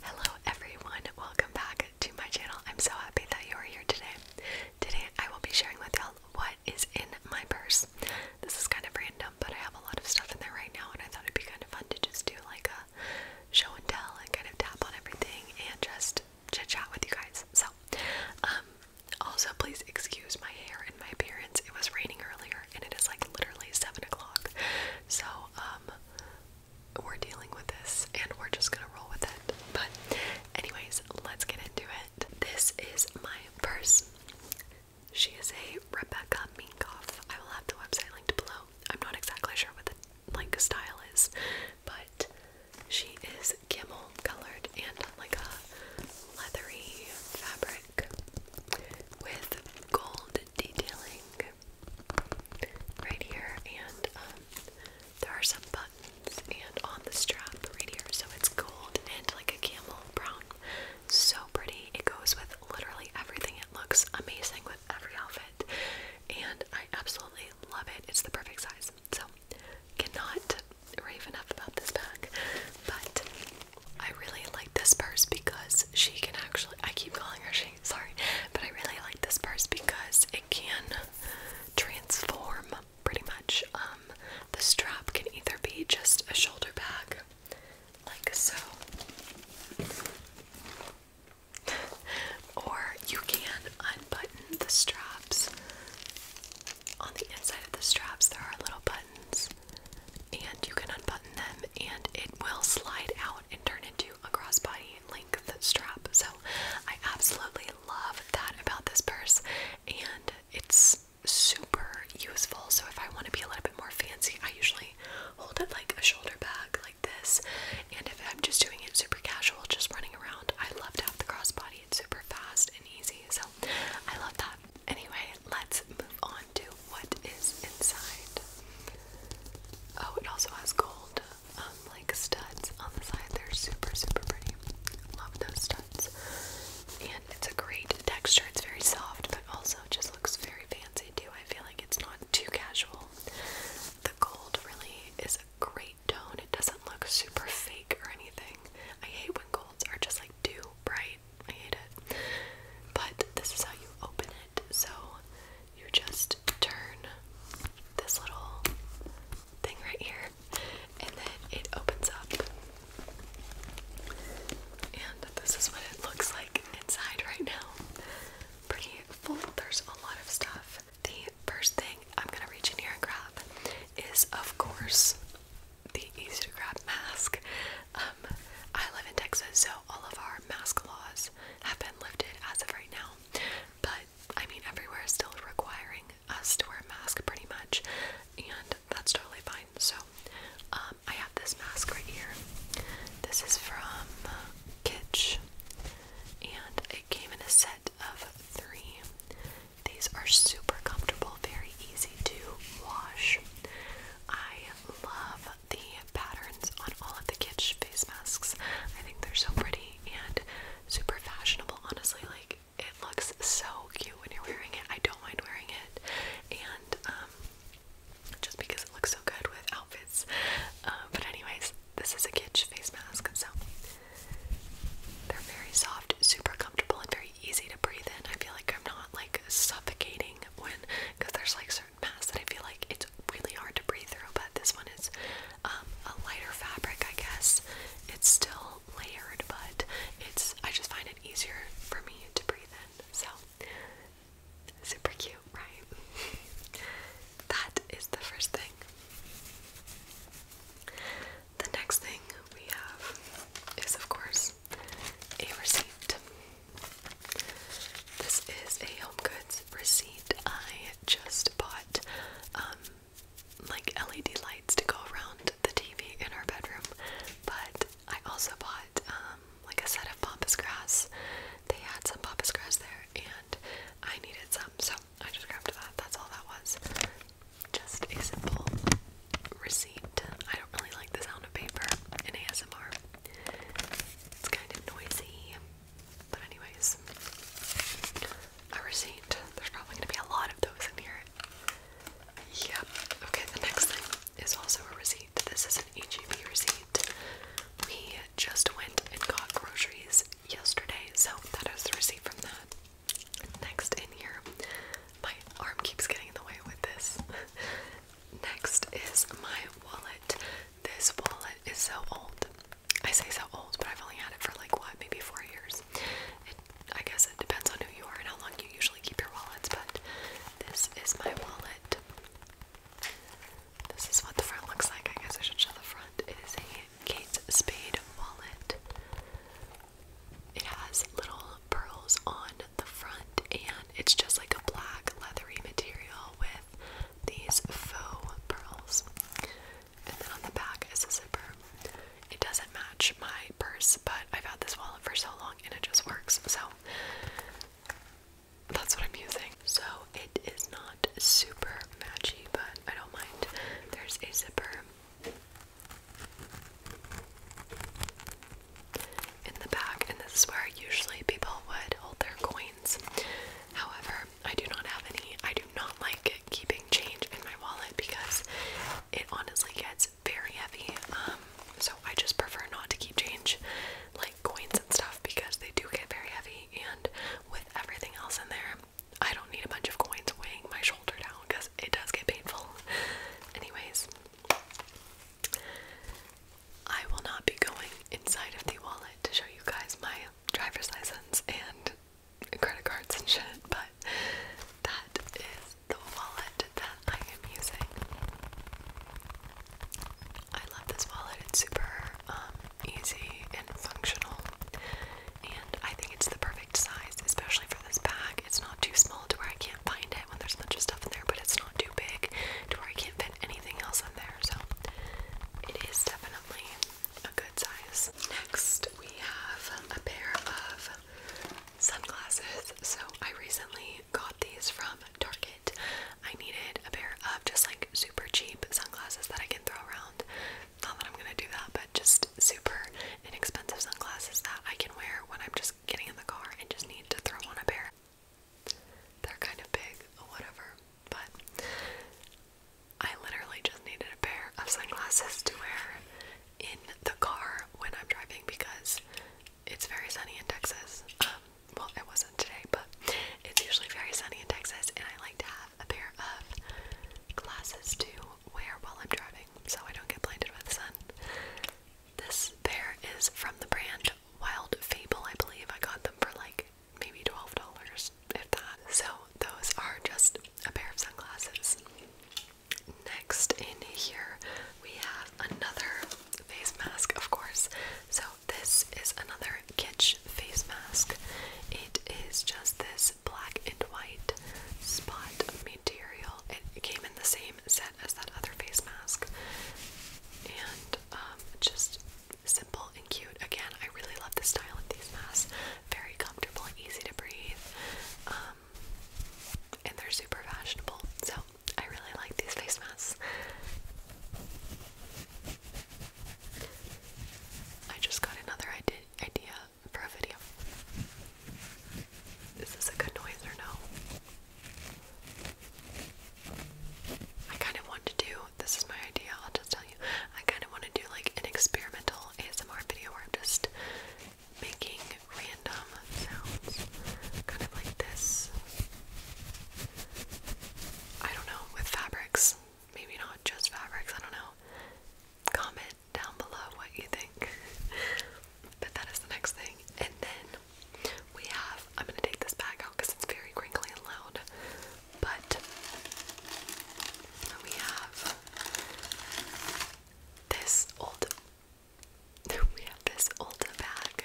Hello everyone, welcome back to my channel. I'm so happy that you are here today. Today I will be sharing with y'all what is in my purse. This is kind of random, but I have a lot of stuff in there right now and I thought it'd be kind of fun to just do like a show and tell and kind of tap on everything and just chit chat with you guys. So, um, also please excuse my hair and my appearance. It was raining earlier and it is like literally seven o'clock. So, um, we're dealing with this and we're just gonna roll with it. But, anyways, let's get into it. This is my purse. She is a Rebecca Minkoff. I will have the website linked below. I'm not exactly sure what the like style is, but she is camel colored and like a leathery fabric with gold detailing right here, and um, there are some buttons and on the strap right here. So it's gold and like a camel brown. So pretty. It goes with literally everything. It looks amazing with every outfit, and I absolutely love it. It's the perfect size. So cannot rave enough about this bag, but I really like this purse because she can actually. I keep calling her. She sorry, but I really like this purse because it can transform pretty much. Um, the strap can either be just a shoulder bag, like so, or you can unbutton the straps. On the inside of the straps, there are little buttons, and you can unbutton them, and it will slide out and turn into a crossbody length strap. So I absolutely love that about this purse and it's super useful. So if I want to be a little bit more fancy, I usually hold it like a shoulder bag like this. And if I'm just doing it super casual, just running around, I love to have the crossbody. It's super fast and easy. So I love that. Anyway, let's move on to what is inside. Oh, it also has gold, um, like studs on the side. They're super, super pretty. Love those studs. And it's a great texture. It's very soft, but also just looks very fancy too. I feel like it's not too casual. The gold really is a great tone. It doesn't look super fake or anything. I hate when golds are just like too bright. I hate it. But this is how you open it. So you just turn this little thing right here, and then it opens up. And this is what it looks like inside right now. Pretty full. There's a lot of stuff. The first thing I'm gonna reach in here and grab is, of course, the easy to grab mask. Um, I live in Texas, so all of our mask laws have been lifted as of right now, but I mean, everywhere is still requiring us to wear a mask pretty much, and that's totally fine. So, um, I have this mask right here. This is from Kitch, and it came in a set of three. These are super comfortable, very easy to wash. I love the patterns on all of the kitsch face masks. I think they're so pretty and super fashionable, honestly. Like, it looks so cute when you're wearing it. I don't mind wearing it. And, um, just because it looks so good with outfits. Uh, but, anyways, this is a kitsch face mask, so they're very soft, super comfortable, and very easy to breathe in. I feel like I'm not like suffocating when because there's like so certain that I feel like it's really hard to breathe through, but this one is um, a lighter fabric, I guess. It's still layered, but it's I just find it easier for me to breathe in. So super cute, right? that is the first thing. The next thing we have is, of course, a receipt. This is a Home Goods receipt. I just bought um, like LED lights to go around the TV in our bedroom, but I also bought um, like a set of pampas grass. They had some pampas grass there and I needed some, so I just grabbed that. That's all that was. Just a simple receipt. I don't really like the sound of paper in ASMR. It's kind of noisy. But anyways, a receipt. There's probably gonna be a lot of those in here. Yep. Okay, the next thing is also a receipt. This is an HEB receipt. We just went and got groceries yesterday, so that is the receipt from that. Next in here, my arm keeps getting in the way with this. Next is my wallet. This wallet is so old. I say so old, but I've only had it for like what, maybe four years. I guess it depends on who you are and how long you usually keep your wallets, but this is my wallet. This is what the front looks like. I guess I should show the front. It is a Kate Spade wallet. It has little pearls on the front, and it's just like a black leathery material with these faux pearls. And then on the back is a zipper. It doesn't match my purse, but I've had this wallet for so long and it just works. So that's what I'm using. So it is not super matchy, but I don't mind. There's a zipper in the back, and this is where usually people would hold their coins. However, I do not have any. I do not like keeping change in my wallet because it honestly gets very heavy. Um, so I just prefer not to keep change like coins and stuff because they do get very heavy, and with everything else in there, I don't need a bunch of coins weighing my shoulder down because it does get painful. Anyways, I will not be going inside of the wallet to show you guys my driver's license and credit cards and shit, but that is the wallet that I am using. I love this wallet, it's super um, easy and functional, and I think it's the perfect size, especially for this bag. It's not too small to where I can't find it when there's a bunch of stuff in there, but it's not too big to where I can't fit anything else in there. So it is definitely a good size. Next, we have a pair of sunglasses. So I recently got these from Target. I needed a pair of just like super cheap sunglasses that I can throw around. Not that I'm gonna do that, but just super inexpensive sunglasses that I can wear when I'm just getting in the car and just need to throw on a pair. They're kind of big or whatever, but I literally just needed a pair of sunglasses to wear in the car when I'm driving because it's very sunny in Texas. Um, well, it wasn't today, but it's usually very sunny in Texas, and I like to have a pair of glasses to wear while I'm driving so I don't get blinded by the sun. This pair is from the brand Wild Fable, I believe. I got them for like maybe $12, if that. So those are just a pair of sunglasses. Next in here, we have another face mask, of course. So this is another Kitsch face mask. It is just this black and white spot material. It came in the same set as that other face mask. And and um, just simple and cute. Again, I really love the style of these masks. Very comfortable and easy to breathe. Um, and they're super fashionable. So I really like these face masks. I just got another idea for a video. Is this a good noise or no? I kind of want to do this is my idea, I'll just tell you. I kind of want to do like an experimental ASMR video where I'm just making random sounds, kind of like this. I don't know, with fabrics. Maybe not just fabrics, I don't know. Comment down below what you think. but that is the next thing. And then we have, I'm going to take this bag out because it's very crinkly and loud, but we have this old, we have this old bag.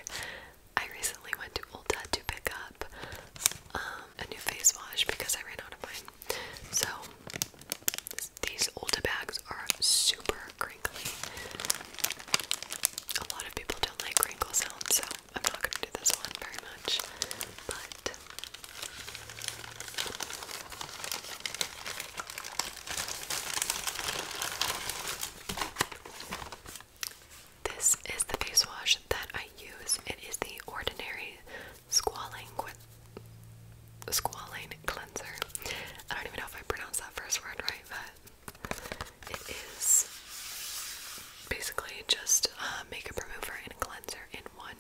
I recently went to Ulta to pick up um, a new face wash because I ran out of mine. So these Ulta bags are super crinkly. A lot of people don't like crinkle sounds, so I'm not going to do this one very much. But this is the face wash that I use. It is the Ordinary Squalane Squalane Cleanser. I don't even know if I pronounced that first word right, but it is basically just a uh, makeup remover and cleanser in one.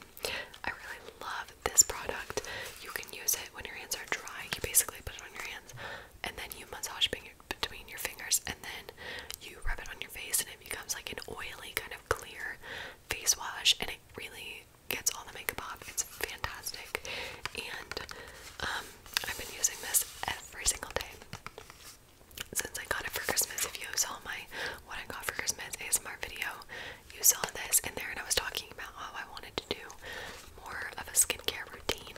I really love this product. You can use it when your hands are dry. You basically put it on your hands and then you massage between your fingers and then you rub it on your face and it becomes like an oily kind of clear face wash and it really gets all the makeup off. It's fantastic. And um I've been using this every single day since I got it for Christmas. If you saw my what I got for Christmas ASMR video, you saw this in there, and I was talking about how I wanted to do more of a skincare routine,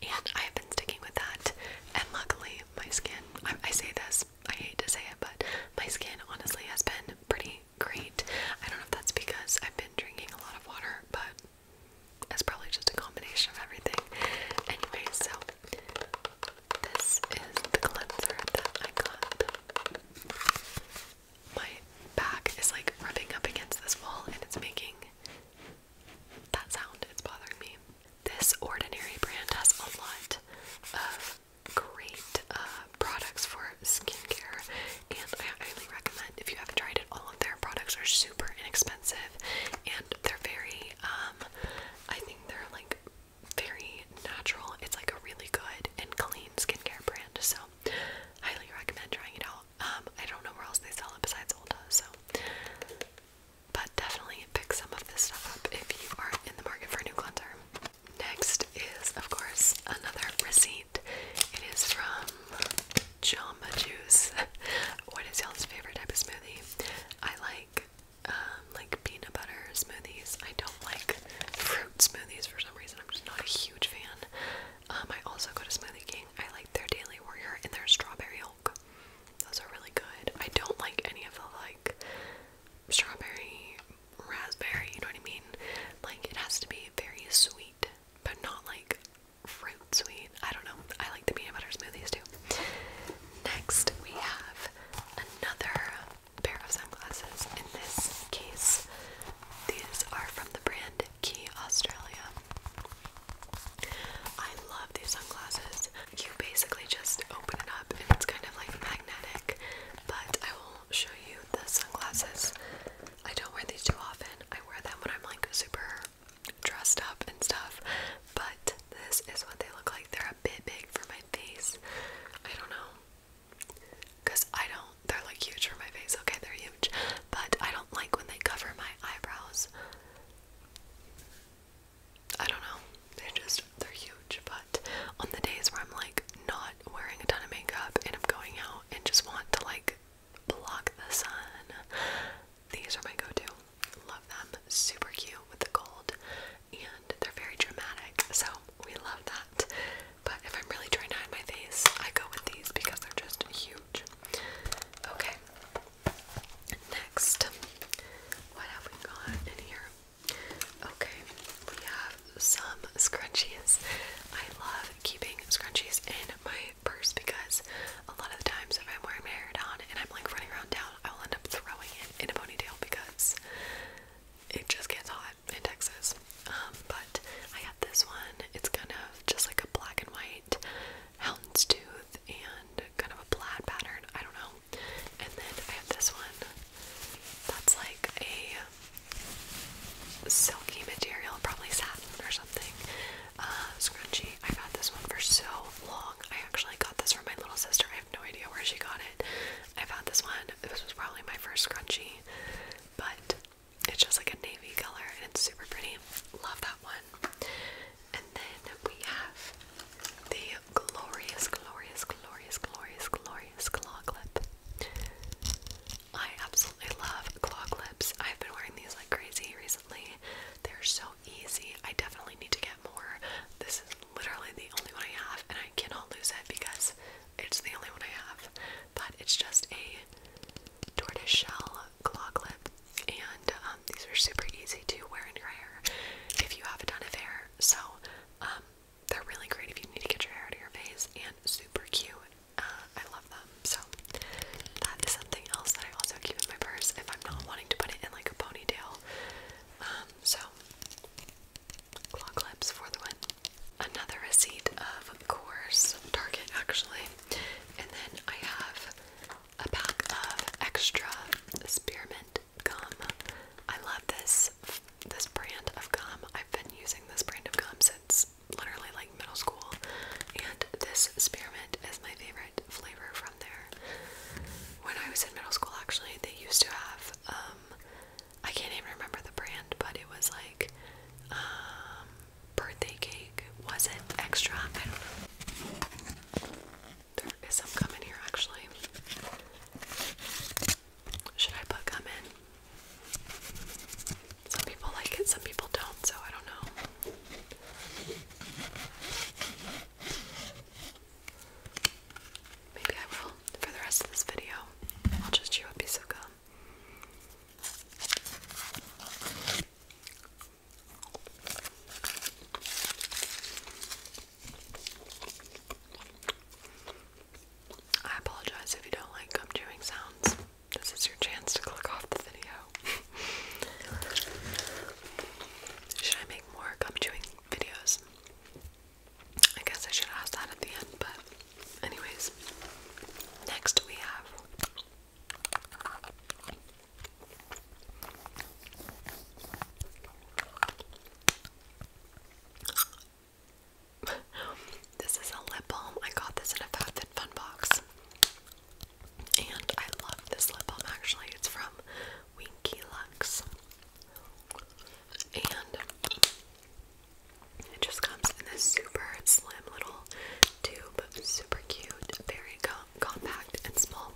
and I have been sticking with that. And luckily, my skin I, I say this, I hate to say it, but my skin honestly has been pretty great. I don't know if that's because I've been drinking a lot of water, but it's probably just a combination of everything. Anyway, so this is the cleanser that I got. My back is like rubbing up against this wall and it's making that sound. It's bothering me. This Ordinary brand has a lot of great uh, products for skincare, and I highly recommend if you haven't tried it. All of their products are super super inexpensive and they're very um, I think they're like very natural. It's like a really good and clean skincare brand. So highly recommend trying it out. Um, I don't know where else they sell it besides Ulta, so but definitely pick some of this stuff up if you are in the market for a new cleanser. Next is of course another receipt. It is from Jamba Juice. what is y'all's favorite type of smoothie? I like um, like peanut butter smoothies. I don't like fruit smoothies for some reason. I'm just not a huge fan. Um, I also go to Smoothie King. I like their Daily Warrior and their strawberry oak. Those are really good. I don't like any of the like strawberry, raspberry. You know what I mean? Like it has to be very sweet, but not like fruit sweet. I don't know. I like the peanut butter smoothies too. Next, we have another pair of sunglasses. In this case, these are from the brand Key Australia. I love these sunglasses. You basically just open it up and it's kind of like magnetic, but I will show you the sunglasses. I don't wear these too often. I wear them when I'm like super dressed up and stuff, but this is what they look like. They're a bit big for my face. I don't know. Because I don't, they're like huge for my face. Okay, they're huge. But I don't like when they cover my eyebrows. I don't know. They're just, they're huge. But on the days where I'm like not wearing a ton of makeup and I'm going out and just want to like block the sun. These are my go-to. Love them. Super cute with the gold and they're very dramatic. So we love that. But if I'm really trying to hide my face, I go with these because they're just huge. Okay. Next, what have we got in here? Okay, we have some scrunchies. I love keeping scrunchies in my purse because a lot of times if I'm wearing my hair down and I'm like running around town, I will end up throwing it in a ponytail because it just gets hot in Texas. Um, but I got this one. It's kind of just like a black and white houndstooth and kind of a plaid pattern. I don't know. And then I have this one that's like a silky material, probably satin or something, uh, I've had this one for so long. I actually got this from my little sister. I have no idea where she got it. I've had this one. This was probably my first scrunchie, but it's just like a navy color and it's super pretty. Love that one. And then we have the glorious, glorious, glorious, glorious, glorious claw clip. I absolutely love claw clips. I've been wearing these like crazy they're so easy. I definitely need to get more. This is literally the only one I have, and I cannot lose it because it's the only one I have. But it's just a tortoiseshell claw clip, and um, these are super easy to wear in your hair if you have a ton of hair. So um, they're really great if you need to get your hair out of your face, and super cute uh, I love them. So that is something else that I also keep in my purse if I'm not wanting to put it in like a ponytail. Um, so claw clips for the win. Another receipt of course Target actually. And then I have a pack of extra spearmint gum. I love this this brand of gum. I've been using this brand of gum since literally like middle school, and this spearmint is my favorite flavor from there. When I was in middle school, actually, they used to have um, I can't even remember the brand, but it was like um, birthday cake. Was it extra? I don't know. There is some gum here, actually. Should I put gum in? Some people like it, some people don't, so I don't know. Maybe I will for the rest of this video. I'll just chew a piece of gum. I apologize if you don't like gum chewing sounds. This is your chance to click off the video. should I make more gum chewing videos? I guess I should ask that at the end, but anyways. Next we have this is a lip balm. I got this in a FabFitFun box. And I love this lip balm actually. It's from Winky Lux. And it just comes in this super slim little tube. Super cute, very compact and small.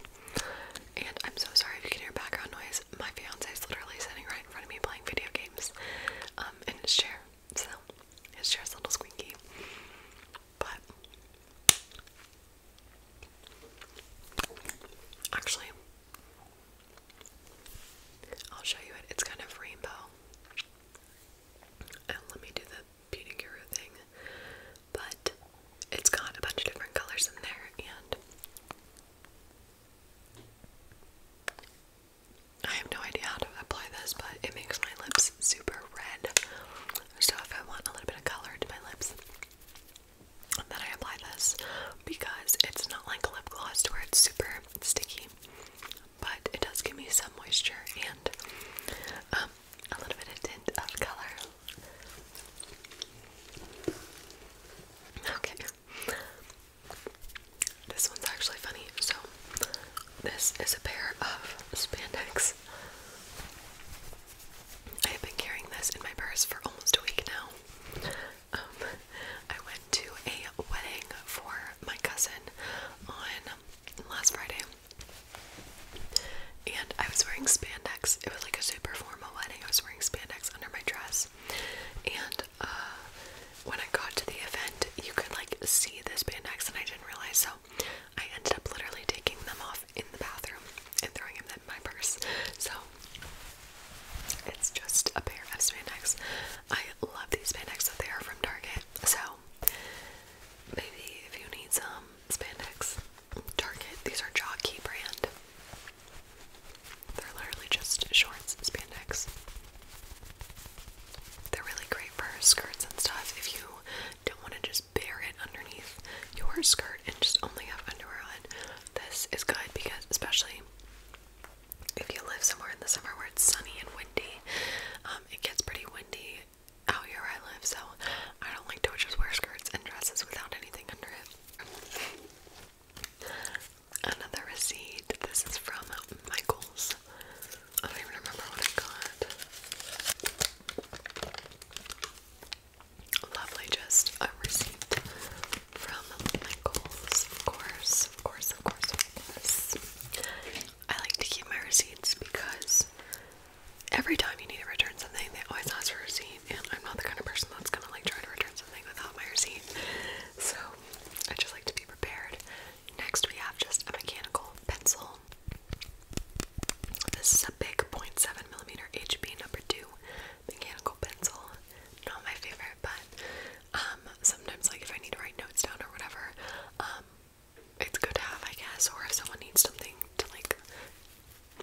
And I'm so sorry if you can hear background noise. My fiance is literally sitting right in front of me playing video games um, in his chair so his chair's a little squeaky. But actually, I'll show you it. It's kind of rainbow. And let me do the Beauty thing. But it's got a bunch of different colors in there, and I have no idea how to apply this, but it makes my lips super red. So if I want a little bit of color to my lips, then I apply this because it's not like a lip gloss to where it's super sticky, but it does give me some moisture and um, a little bit of tint of color. Okay. This one's actually funny. So, this is a pair of spandex. I have been carrying this in my purse for almost a week now. Um, I went to a wedding for my cousin on last Friday, and I was wearing spandex. It was like a super formal wedding. I was wearing spandex under my dress, and uh, when I got to the event, you could like see this spandex, and I didn't realize. So I ended up literally taking them off in the bathroom and throwing them in my purse. So it's just a pair of spandex. I love these spandex that they are from Target. So maybe if you need some spandex, Target. These are Jockey brand. They're literally just shorts, spandex. They're really great for skirts and stuff if you don't want to just bare it underneath your skirt and just only have underwear on. This is good because, especially if you live somewhere in the summer where it's sunny and windy, um, it gets pretty windy out here I live, so I don't like to just wear skirts and dresses without anything under it. Another receipt. This is from Michael's. I don't even remember what I got. Lovely just a receipt from Michaels, of course, of course, of course, of course. I like to keep my receipts because every time you need to return something, they always ask for a receipt, and I'm not the kind of person that's gonna like try to return something without my receipt. So I just like to be prepared. Next, we have just a mechanical pencil. This is a big 07 millimeter HB number 2 mechanical pencil. Not my favorite, but um, sometimes, like, if I need to write notes down or whatever, um, it's good to have, I guess, or if someone needs something to, like,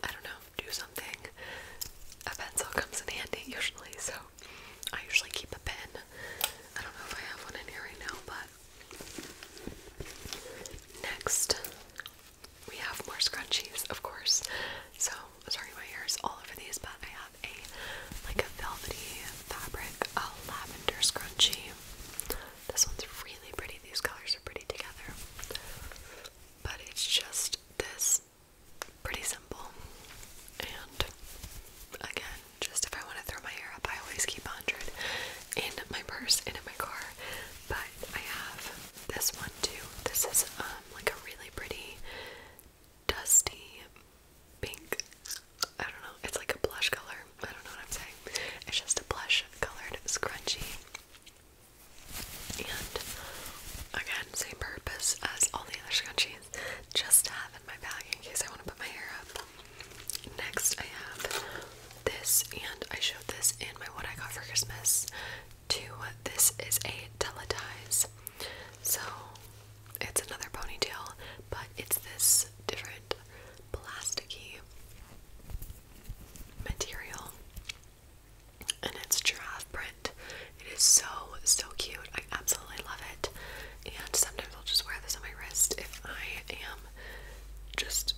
I don't know, do something, a pencil comes in handy usually, so I usually keep a pen. I don't know if I have one in here right now, but Next, we have more scrunchies, of course. So sorry my hair is all over these, but I have a like a velvety fabric, a lavender scrunchie. This one's really pretty. These colors are pretty together. But it's just this pretty simple. And again, just if I want to throw my hair up, I always keep 100 in my purse and in my car. But I have this one too. This is um, like a really pretty dusty pink. I don't know. It's like a blush color. I don't know what I'm saying. It's just a blush colored scrunchie. And again, same purpose as all the other scrunchies just to have in my bag in case I want to put my hair up. Next, I have this, and I showed this in my What I Got for Christmas. Two, this is a Teletize. So it's another ponytail, but it's this different plasticky material. And it's giraffe print. It is so, so cute. I absolutely love it and sometimes I'll just wear this on my wrist if I am just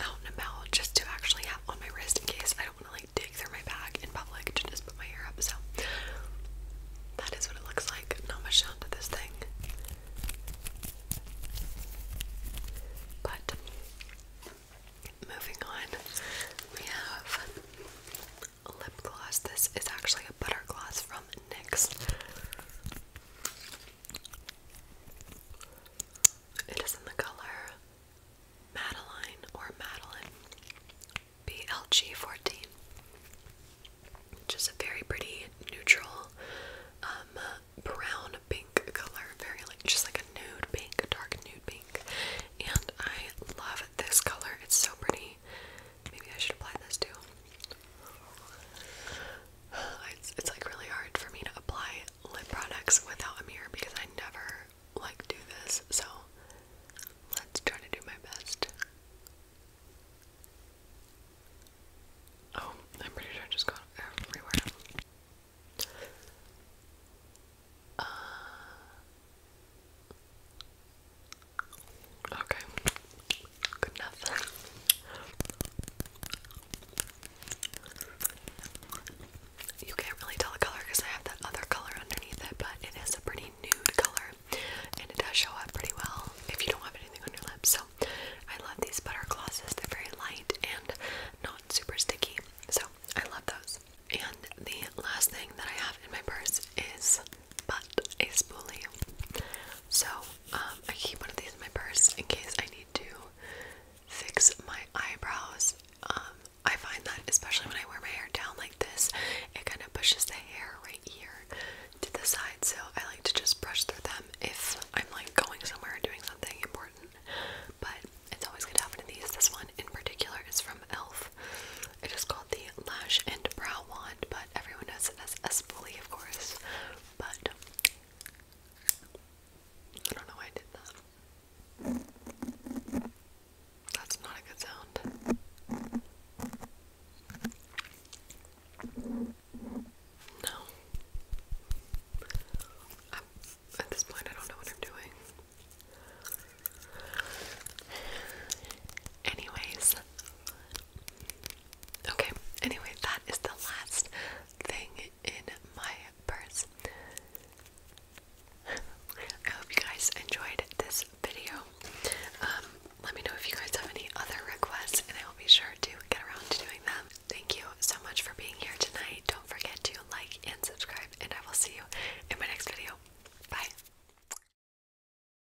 out and about just to actually have on my wrist in case I don't want to like dig through my bag in public to just put my hair up. So that is what it looks like. Not much down to this thing. But moving on, we have lip gloss. This is actually a butter gloss from next. It is in the color Madeline or Madeline BLG14, which is a very pretty neutral um, brown pink color, very like just like a nude pink, dark nude pink. And I love this color, it's so pretty. Maybe I should apply this too. It's, like really hard for me to apply lip products without a mirror because I never like do this. So let's try to do my best. Oh, I'm pretty sure I just got everywhere. Uh, Okay. Good You can't really tell the color because I have that other color underneath it, but it is a pretty nude color and it does show up pretty well if you don't have anything on your lips. So I love these butter glosses. They're very light and not super sticky. So I love those. And the last thing that I have in my purse is but a spoolie. So um, I keep one of these in my purse in case I need to fix my eyebrows. Um, I find that especially when I wear my hair down like this, it kind of pushes the hair right here to the side. So I like to just brush through them if I'm like going somewhere or doing something important. But it's always good to have one of these. This one in particular is from e.l.f. It is called the lash and brow wand, but everyone knows it as Espoli, of course. But I don't know why I did that. That's not a good sound. No. at this point, I don't know what I'm doing. Anyways, Okay, anyway, that is the last thing in my purse. I hope you guys enjoyed this video. Um, let me know if you guys have any other requests, and I will be sure to get around to doing them. Thank you so much for being here tonight. Don't forget to like and subscribe, and I will see you in my next video. Bye.